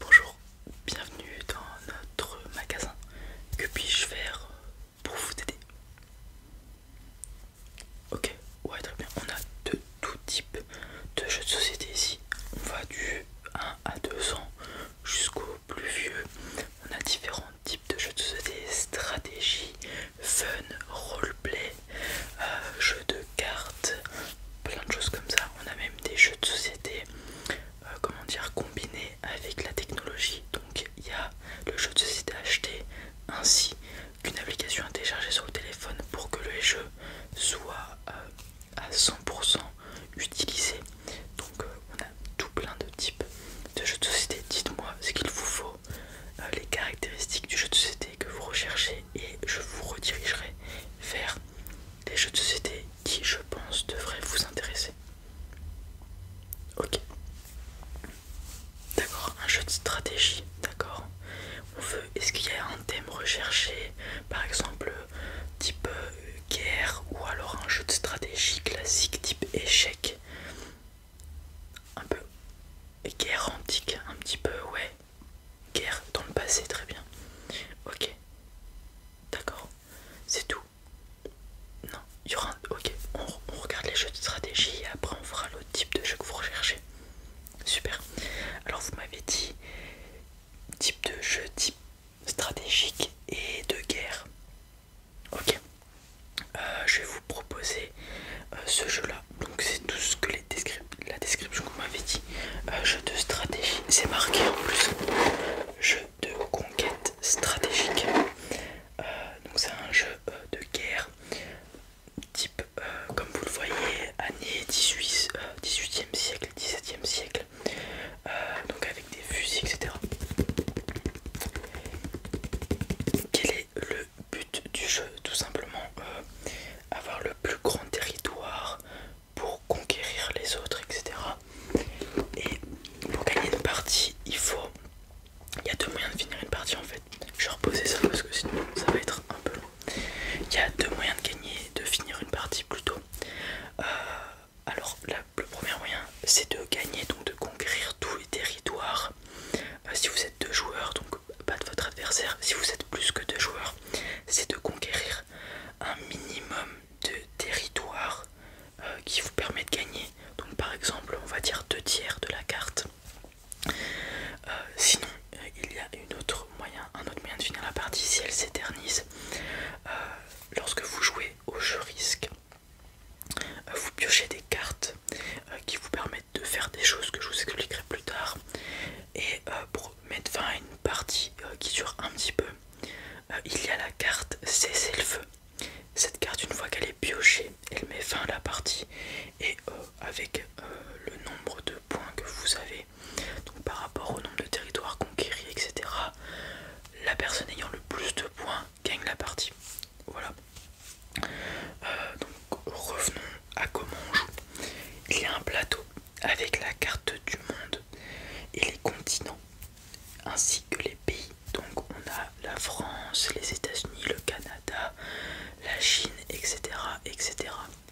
Bonjour, bienvenue dans notre magasin. Que puis-je faire pour vous aider Ok, ouais très bien. On a de tout type de jeux de société ici. On va du 1 à ans jusqu'au plus vieux. On a différents types de jeux de société, stratégie, fun, roleplay, euh, jeux de cartes, plein de choses comme ça. On a même des jeux de société, euh, comment dire, combinés avec la technologie. Donc il y a le jeu de société acheté ainsi qu'une application à télécharger sur le téléphone pour que le jeu soit euh, à 100% utilisé. Donc euh, on a tout plein de types de jeux de société. Dites-moi ce qu'il vous faut, les caractéristiques du jeu de société que vous recherchez et je vous redirigerai vers les jeux de société qui, je pense, devraient vous intéresser. Ok. D'accord, un jeu de stratégie, d'accord. On veut, est-ce qu'il y a un thème recherché, par exemple type euh, guerre ou alors un jeu de stratégie classique type échec, un peu guerre antique, un petit peu, ouais guerre dans le passé, très bien. Ok, d'accord, c'est tout. Non, il y aura Ok, on, regarde les jeux de stratégie et après on fera le type de jeu que vous recherchez. Super. Alors vous m'avez dit type de jeu, type stratégique et de guerre. Ok. Euh, je vais vous proposer euh, ce jeu-là. Donc c'est tout ce que les descriptions la description que vous m'avez dit. un euh, jeu de stratégie, c'est marqué en plus. Jeu de conquête stratégique. Euh, donc c'est un jeu euh, de guerre type, comme vous le voyez, année 18, e siècle, 17e siècle. donc avec des fusils, etc. Quel est le but du jeu Tout simplement avoir le plus grand territoire, pour conquérir les autres, etc. Et pour gagner une partie, il faut. Il y a deux moyens de finir une partie en fait. Je vais reposer ça parce que sinon ça va être un peu long. Il y a deux moyens de gagner, de finir une partie plutôt. Euh, alors le premier moyen c'est de gagner, donc de conquérir tous les territoires. Euh, si vous êtes deux joueurs, donc pas de votre adversaire, si vous êtes plus que deux joueurs, c'est de conquérir un minimum de territoire euh, qui vous permet de gagner. Donc par exemple, on va dire deux tiers de la carte. Euh, sinon, euh, il y a une autre moyen, un autre moyen de finir la partie si elle s'éternise. lorsque vous jouez au jeu risque, vous piochez des cartes qui vous permettent de faire des choses que je vous expliquerai plus tard. Et euh, pour mettre fin à une partie euh, qui dure un petit peu, euh, il y a la carte Cessez le feu. Cette carte, une fois qu'elle est piochée, elle met fin à la partie et avec le nombre de points que vous avez, donc par rapport au nombre de territoires conquéris, etc., la personne ayant le plus de points gagne la partie. Voilà. donc revenons à comment on joue. Il y a un plateau avec la carte du monde et les continents ainsi que les pays. Donc on a la France, les États-Unis, le Canada, la Chine, etc. etc.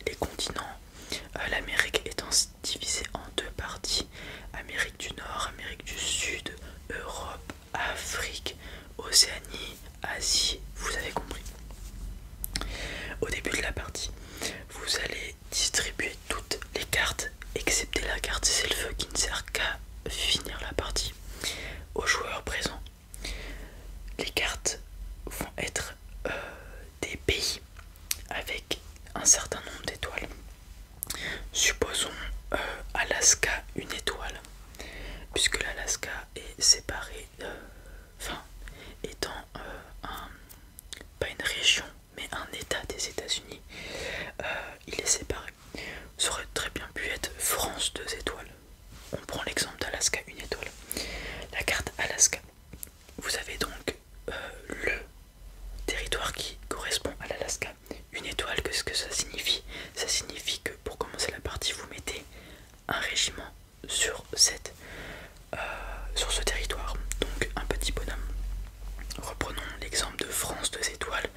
Les continents, euh, l'Amérique étant divisée en deux parties, Amérique du Nord, Amérique du Sud, Europe, Afrique, Océanie, Asie, vous avez compris. Au début de la partie, vous allez distribuer toutes les cartes, excepté la carte c'est le feu qui ne sert qu'à finir la partie aux joueurs présents. Les cartes vont être euh, des pays avec un certain nombre d'étoiles. Supposons euh, Alaska une étoile, puisque l'Alaska est séparé, euh, enfin étant pas une région, mais un état des États-Unis, euh, il est séparé. Ça aurait très bien pu être France 2 étoiles. On prend l'exemple d'Alaska, 1 étoile. La carte Alaska, vous avez donc euh, le territoire qui correspond à l'Alaska. Une étoile, qu'est-ce que ça signifie Ça signifie que pour commencer la partie, vous mettez un régiment sur cette. Euh, sur ce territoire. Donc un petit bonhomme. Reprenons l'exemple de France 2 étoiles.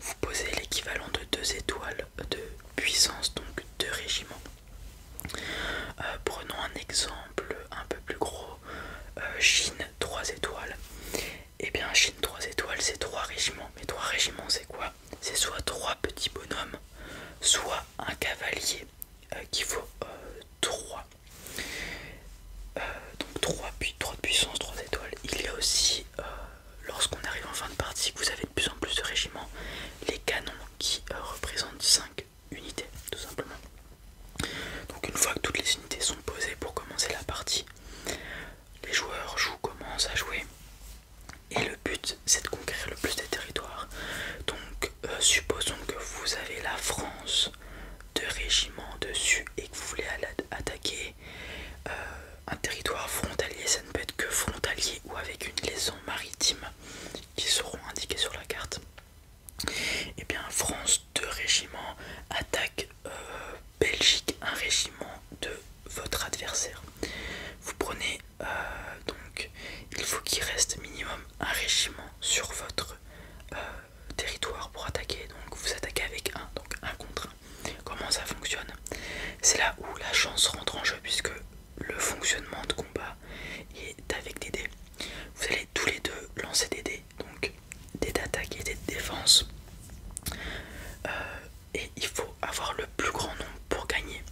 Vous posez l'équivalent de 2 étoiles de puissance, donc 2 régiments. Euh, prenons un exemple un peu plus gros. Euh, Chine 3 étoiles. Et eh bien Chine 3 étoiles c'est 3 régiments. Mais 3 régiments c'est quoi C'est soit 3 petits bonhommes, soit un cavalier qui vaut 3. Euh, donc 3, 3 puissance, 3 étoiles. Il y a aussi, euh, lorsqu'on arrive en fin de partie, vous avez de plus en plus de régiments, les canons qui euh, représentent 5 unités, tout simplement. Donc une fois que toutes les unités sont posées pour commencer la partie, les joueurs jouent, commencent à jouer. Et le but c'est de conquérir le plus de territoires. Donc euh, supposons que vous avez la France, de régiment dessus, et que vous voulez attaquer euh, un territoire frontalier. Ça ne peut être que frontalier ou avec une liaison maritime qui seront indiquées sur la carte. Et eh bien, France, de régiment attaque euh, Belgique, un régiment de votre adversaire. Vous prenez donc, il faut qu'il reste minimum un régiment sur votre. Euh, territoire pour attaquer, donc vous attaquez avec un, donc un contre un. Comment ça fonctionne C'est là où la chance rentre en jeu puisque le fonctionnement de combat est avec des dés. Vous allez tous les deux lancer des dés, donc des attaques et des défenses euh, et il faut avoir le plus grand nombre pour gagner.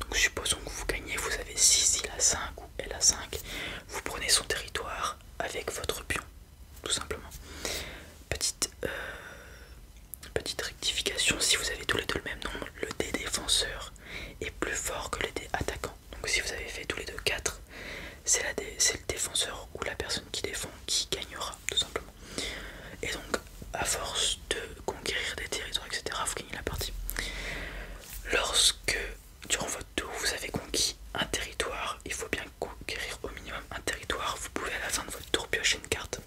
Donc supposons que vous gagnez, vous avez 6, il a 5 ou elle a 5, vous prenez son territoire, avec votre pion, tout simplement. Petite, euh, petite rectification, si vous avez tous les deux le même nombre, le dé défenseur est plus fort que le dé attaquant. Donc si vous avez fait tous les deux 4, c'est le défenseur ou la personne qui défend qui gagnera, tout simplement. Et donc, à force de conquérir des territoires, etc., vous gagnez la partie. Lorsque, durant votre D'où vous avez conquis un territoire. Il faut bien conquérir au minimum un territoire. Vous pouvez à la fin de votre tour piocher une carte.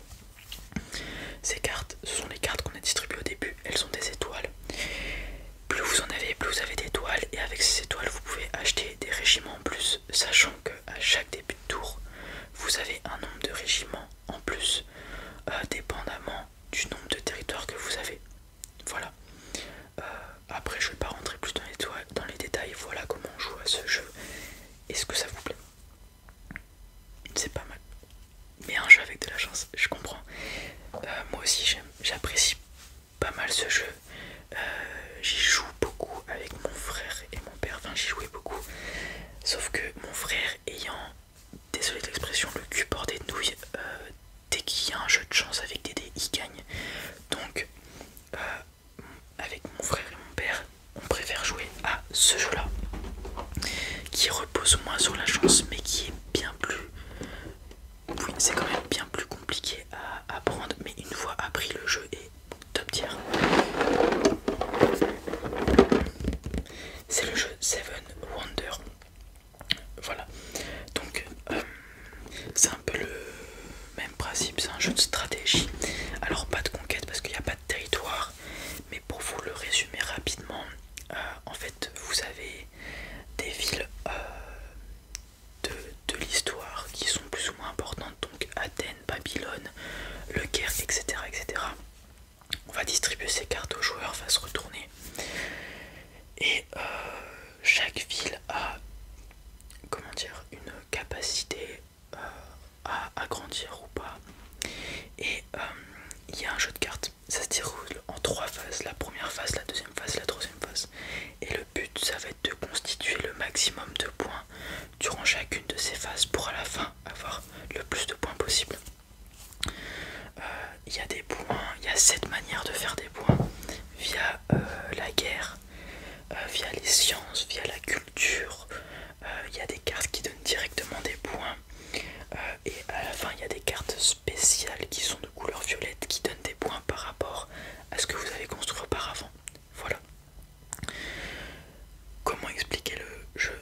Ces cartes, ce sont les cartes qu'on a distribuées au début. Elles sont des étoiles. Plus vous en avez, plus vous avez d'étoiles. Et avec ces étoiles, vous pouvez acheter des régiments en plus. Sachant qu'à chaque début de tour, vous avez un nombre de régiments en plus, euh, dépendamment du nombre de territoires que vous avez. Voilà. Euh, après, je vais pas rentrer plus dans les, détails. Voilà comment on joue à ce jeu. Est-ce que ça vous plaît C'est pas mal. Mais un jeu avec de la chance, je comprends. Euh, moi aussi, j'apprécie pas mal ce jeu. Euh, j'y joue beaucoup avec mon frère et mon père. Enfin, j'y jouais beaucoup. Sauf que mon frère ayant, désolé de l'expression, le cul bordé de nouilles, dès qu'il y a un jeu de chance avec des dés, il gagne. Donc, euh, avec mon frère et mon père, on préfère jouer à ce jeu-là, qui repose moins sur la chance, mais qui est bien plus... Oui, c'est quand même bien plus compliqué à apprendre, mais une fois appris, le jeu est top tier. C'est le jeu Seven Wonder. Voilà, donc euh, c'est un peu le même principe, c'est un jeu de stratégie. Alors pas de conquête parce qu'il n'y a pas de territoire, mais pour vous le résumer rapidement, euh, en fait vous avez des villes euh, de, l'histoire qui sont plus ou moins importantes, donc Athènes, Babylone, le Caire, etc. etc. On va distribuer ces cartes aux joueurs, va se retourner. Et chaque ville a comment dire une capacité euh, à agrandir ou pas et euh, il y a un jeu de cartes ça se déroule en trois phases la première phase la deuxième phase la troisième phase et le but ça va être de constituer le maximum de points durant chacune de ces phases pour à la fin avoir le plus de points possible euh, il y a des points, il y a cette manière de faire des points via euh, la guerre, euh, via les sciences, via la culture. Euh, il y a des cartes qui donnent directement des points. et à la fin, il y a des cartes spéciales qui sont de couleur violette qui donnent des points par rapport à ce que vous avez construit auparavant. Voilà. Comment expliquer le jeu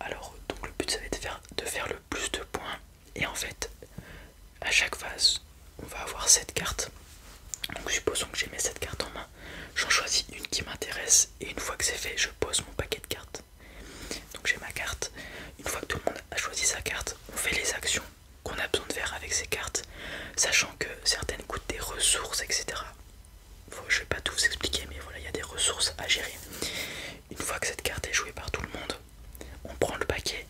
Alors, donc le but ça va être de faire le plus de points et en fait, à chaque phase, on va avoir cette carte. Donc supposons que j'ai mis cette carte en main, j'en choisis une qui m'intéresse et une fois que c'est fait, je pose mon paquet de cartes. Donc j'ai ma carte. Une fois que tout le monde a choisi sa carte, on fait les actions qu'on a besoin de faire avec ces cartes, sachant que certaines coûtent des ressources, etc. Je vais pas tout vous expliquer, mais voilà, il y a des ressources à gérer. Une fois que cette carte est jouée par tout le monde, on prend le paquet,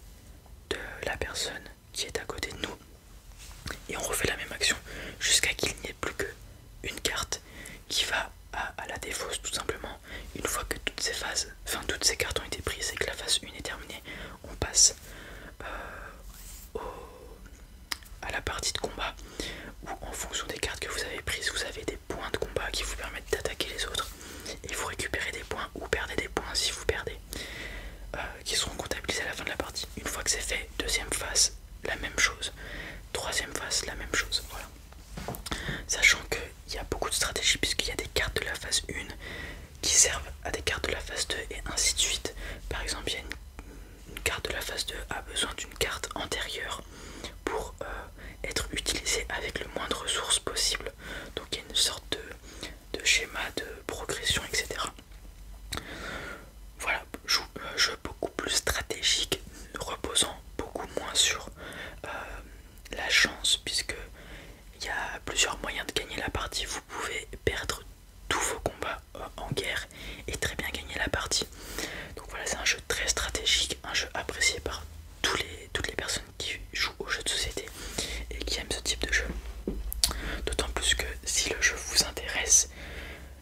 de la personne qui est à côté de nous et on refait la même action jusqu'à qu'il n'y ait plus qu'une carte qui va à, la défausse tout simplement une fois que toutes ces phases enfin toutes ces cartes ont été prises et que la phase 1 est terminée on passe euh, à la partie de combat où en fonction des cartes que vous avez prises vous avez des points de combat qui vous permettent d'attaquer les autres et vous récupérez des points ou perdez des points si vous perdez, euh, qui seront comptabilisés à la fin de la partie. Une fois que c'est fait, deuxième phase, la même chose. Troisième phase, la même chose. Sachant qu'il y a beaucoup de stratégies puisqu'il y a des cartes de la phase 1 qui servent à des cartes de la phase 2 et ainsi de suite. Par exemple, il y a une, carte de la phase 2 a besoin d'une carte antérieure pour euh, être utilisée avec le moins de ressources possible. Donc il y a une sorte de de schémas de progression, etc. Voilà, un euh, jeu beaucoup plus stratégique, reposant beaucoup moins sur euh, la chance, puisque il y a plusieurs moyens de gagner la partie. Vous pouvez perdre tous vos combats euh, en guerre et très bien gagner la partie. Donc voilà, c'est un jeu très stratégique, un jeu apprécié par tous les, toutes les personnes qui jouent aux jeux de société et qui aiment ce type de jeu. D'autant plus que si le jeu vous intéresse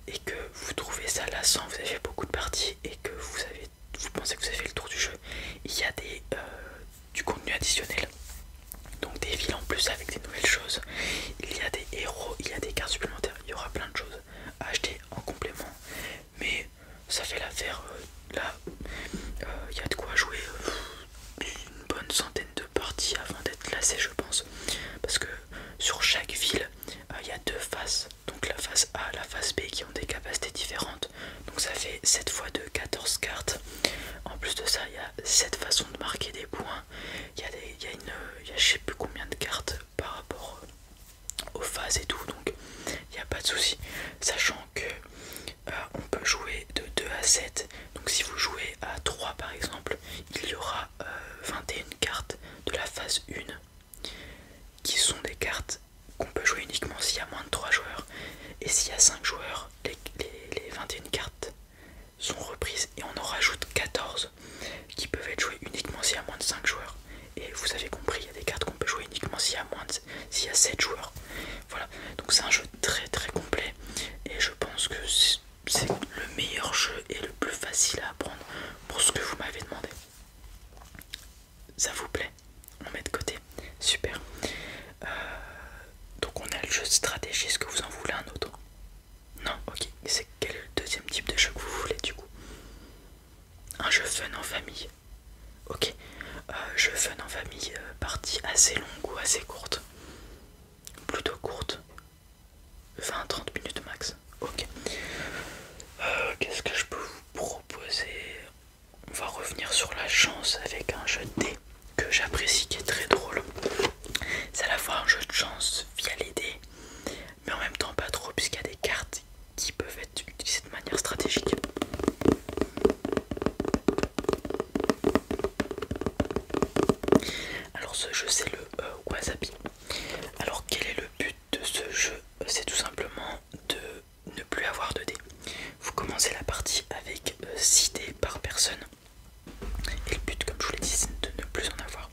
et que vous trouvez ça lassant, vous avez fait beaucoup de parties et que vous, avez, vous pensez que vous avez fait le tour du jeu, il y a des, euh, du contenu additionnel. Donc des villes en plus avec des nouvelles choses, il y a des héros, il y a des cartes supplémentaires, il y aura plein de choses à acheter en complément. Mais ça fait l'affaire euh, là, euh, il y a de quoi jouer une bonne centaine de parties avant d'être classé je pense parce que sur chaque ville euh, il y a deux faces donc la face A la face B qui ont des capacités différentes donc ça fait 7 fois de 14 cartes en plus de ça il y a 7 façons de marquer des points il y a, des, y a une je sais plus combien de cartes par rapport aux phases et tout donc il n'y a pas de souci sachant que euh, on peut jouer de 2 à 7. Donc si vous jouez à 3 par exemple, il y aura 21 euh, cartes de la phase 1 qui sont des cartes qu'on peut jouer uniquement s'il y a moins de 3 joueurs. Et s'il y a 5 joueurs, les, 21 cartes sont reprises et on en rajoute 14 qui peuvent être jouées uniquement s'il y a moins de 5 joueurs. Et vous avez compris, il y a des cartes qu'on peut jouer uniquement moins s'il y a 7 joueurs. Voilà, donc c'est un jeu très très complet et je pense que c'est le meilleur jeu et le plus facile à apprendre pour ce que vous m'avez demandé. Ça vous plaît On met de côté. Super. Euh, donc on a le jeu de est-ce que vous en voulez un autre Non, ok. C'est quel le deuxième type de jeu que vous voulez du coup Un jeu fun en famille Ok. Euh, je fun en famille, euh, partie assez longue ou assez courte Plutôt courte. 20-30 minutes max. Ok. Euh, qu'est-ce que je peux vous proposer On va revenir sur la chance avec un jeu de dés que j'apprécie qui est très drôle. C'est à la fois un jeu de chance via les dés, mais en même temps pas trop puisqu'il y a des cartes qui peuvent être utilisées de manière stratégique. Alors ce jeu c'est le euh, Wasabi. Alors quel est le but de ce jeu C'est tout simplement de ne plus avoir de dés. Vous commencez la partie avec 6 euh, dés par personne. Et le but comme je vous l'ai dit c'est de ne plus en avoir.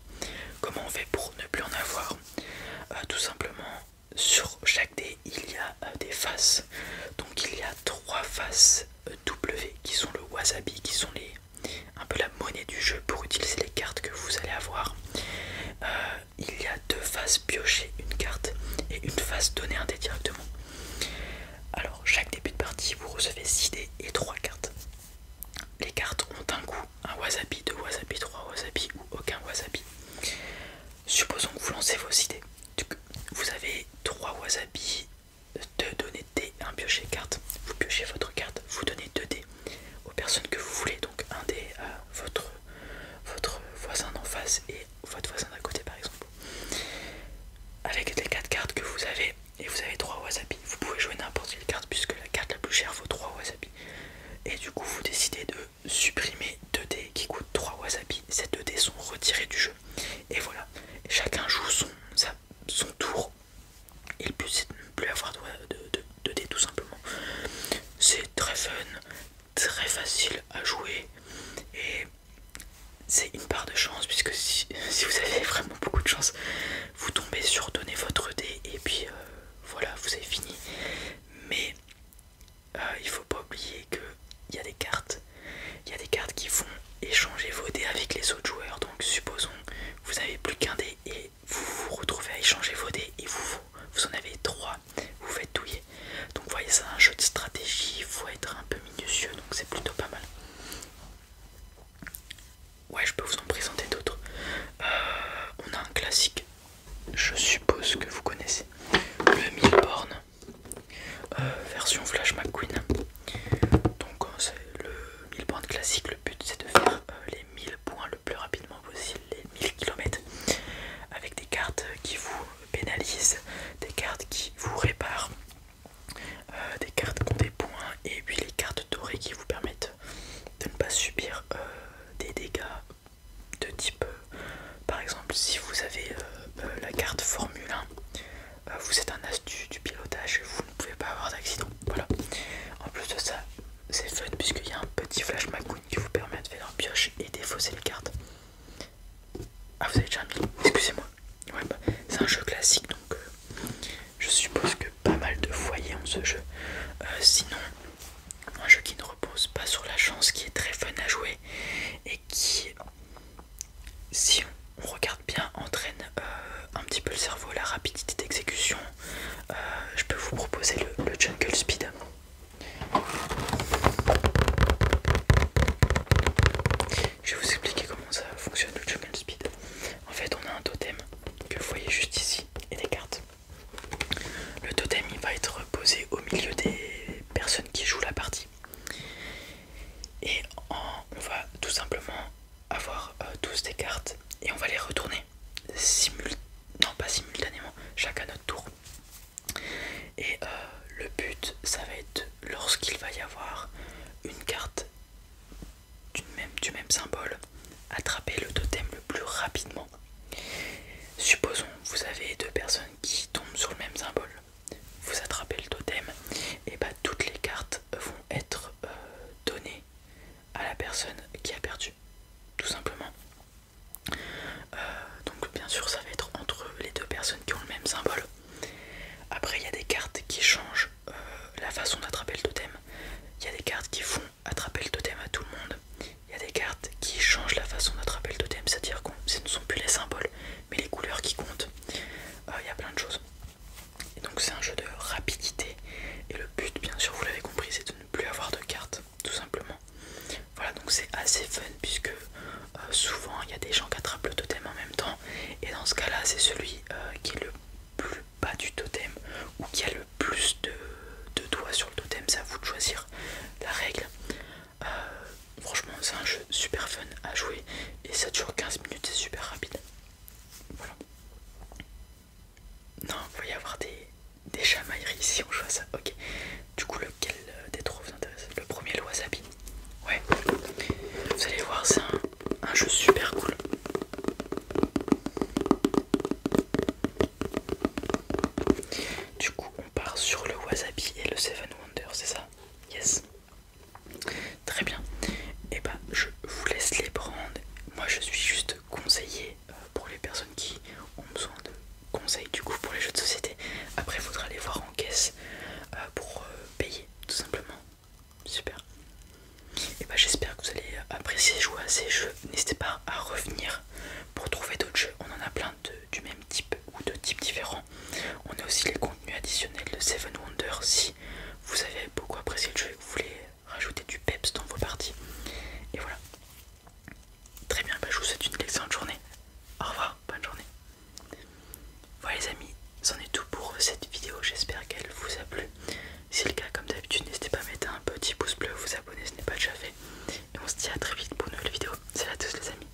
Comment on fait pour ne plus en avoir euh, Tout simplement sur chaque il y a euh, des faces. Donc il y a trois faces euh, W qui sont le wasabi, qui sont les un peu la monnaie du jeu pour utiliser les cartes que vous allez avoir. Euh, il y a deux faces piocher une carte et une face donner un dé directement. Alors chaque début de partie vous recevez 6 dés et trois cartes. Les cartes ont un goût, un wasabi, deux wasabi, trois wasabi ou aucun wasabi. Supposons que vous lancez vos idées. Vous avez 3 wasabi, 2 euh, données de dés, 1 piocher carte. Vous piochez votre carte, vous donnez 2 dés aux personnes que vous voulez. Donc un dé à votre, votre voisin d'en face et votre voisin d'à côté par exemple. Avec les 4 cartes que vous avez, et vous avez 3 wasabi, vous pouvez jouer n'importe quelle carte puisque la carte la plus chère vaut 3 wasabi. Et du coup vous décidez de supprimer 2 dés qui coûtent 3 wasabi. Ces 2 dés sont retirés du jeu et voilà, chacun joue son, son tour. Et le but c'est de ne plus avoir de, de, dés tout simplement. C'est très fun, très facile à jouer. Et c'est une part de chance puisque si, vous avez vraiment beaucoup de chance, vous tombez sur donner votre dé et puis euh, voilà, vous avez fini. Mais euh, il faut pas oublier qu'il y a des cartes. Il y des cartes qui font échanger vos dés avec les autres joueurs. Donc supposons vous n'avez plus qu'un dé et vous vous retrouvez à échanger vos dés et vous, en avez trois. Vous, faites douiller. Donc voyez c'est un jeu de stratégie, il faut être un peu minutieux, donc c'est plutôt pas mal. Ouais, je peux vous en présenter d'autres. Euh, on a un classique, je suppose que vous connaissez, le mille bornes. Euh, version Flash McQueen. Donc euh, c'est le 1000 points classique, le but c'est de faire euh, les 1000 points le plus rapidement possible, les 1000 km, avec des cartes qui vous pénalisent, des cartes qui vous réparent, des cartes qui ont des points et puis les cartes dorées qui vous permettent de ne pas subir des dégâts de type euh, par exemple, si vous avez euh, euh, la carte Formule 1, vous êtes un astuce du, pilotage, vous ne pouvez pas avoir d'accident. Voilà. En plus de ça, c'est fun puisqu'il y a un petit flash McQueen qui vous permet de faire un pioche et défausser les cartes. Ah, vous avez déjà Excusez-moi. Bah, c'est un jeu classique donc je suppose que pas mal de foyers ont ce jeu. sinon, un jeu qui ne repose pas sur la chance, qui est très fun à jouer et qui si on regarde bien, entraîne euh, un petit peu le cerveau, la rapidité d'exécution. Euh, je peux vous proposer le, le Jungle Speed. Je vais vous expliquer comment ça fonctionne le Jungle Speed. En fait, on a un totem que vous voyez juste ici et des cartes. Le totem il va être posé au milieu des personnes qui jouent la partie. Et on va tout simplement avoir euh, tous des cartes et on va les retourner simultanément. Non, pas simultanément, chacun notre tour. Et euh, le but, ça va être lorsqu'il va y avoir une carte du même, du même symbole, attraper le totem le plus rapidement. Supposons, vous avez deux personnes qui tombent sur le même symbole vous attrapez le totem, et bah toutes les cartes vont être euh, données à la personne qui a perdu, tout simplement. Euh, donc bien sûr ça va être entre les deux personnes qui ont le même symbole. Après il y a des cartes qui changent euh, la façon d'attraper le totem. Il y a des cartes qui font attraper le totem à tout le monde. Il y a des cartes qui changent la façon d'attraper le totem, c'est-à-dire que ce ne sont plus les symboles, mais les couleurs qui comptent. Euh, il y a plein de choses. donc c'est un jeu de rapidité. Et le but, bien sûr, vous l'avez compris, c'est de ne plus avoir de cartes, tout simplement. Voilà, donc c'est assez fun puisque euh, souvent il y a des gens qui attrapent le totem en même temps. Et dans ce cas-là, c'est celui euh, qui est le plus bas du totem ou qui a le plus de doigts sur le totem. C'est à vous de choisir la règle. Euh, franchement, c'est un jeu super fun à jouer et ça dure 15 minutes, c'est super rapide. Voilà. Non, il va y avoir des, des chamailleries si on joue à ça. Ok. Du coup, lequel euh, des trois vous intéresse Le premier, le Wasabi. Ouais. Vous allez voir, c'est un, un jeu super cool. Du coup, on part sur le Wasabi et le Seven Wonders, c'est ça Yes. Très bien. Et eh ben, je vous laisse les prendre. Moi, je suis juste conseiller euh, pour les personnes qui ont besoin de conseils du coup pour les jeux de société. Après, il faudra les voir en caisse euh, pour euh, payer, tout simplement. Super. Et eh bah, ben, j'espère que vous allez apprécier jouer à ces jeux. N'hésitez pas à revenir pour trouver d'autres jeux. On en a plein du même type ou de types différents. On a aussi les contenus additionnels de Seven Wonders si vous avez beaucoup apprécié le jeu et que vous voulez rajouter du peps dans vos parties. Et voilà. Très bien, bah, je vous souhaite une excellente journée. Au revoir, bonne journée. Voilà les amis, c'en est tout pour cette vidéo, j'espère qu'elle vous a plu. Si c'est le cas, comme d'habitude, n'hésitez pas à mettre un petit pouce bleu, vous abonner ce n'est pas déjà fait. Et on se dit à très vite pour une nouvelle vidéo. Salut à tous les amis,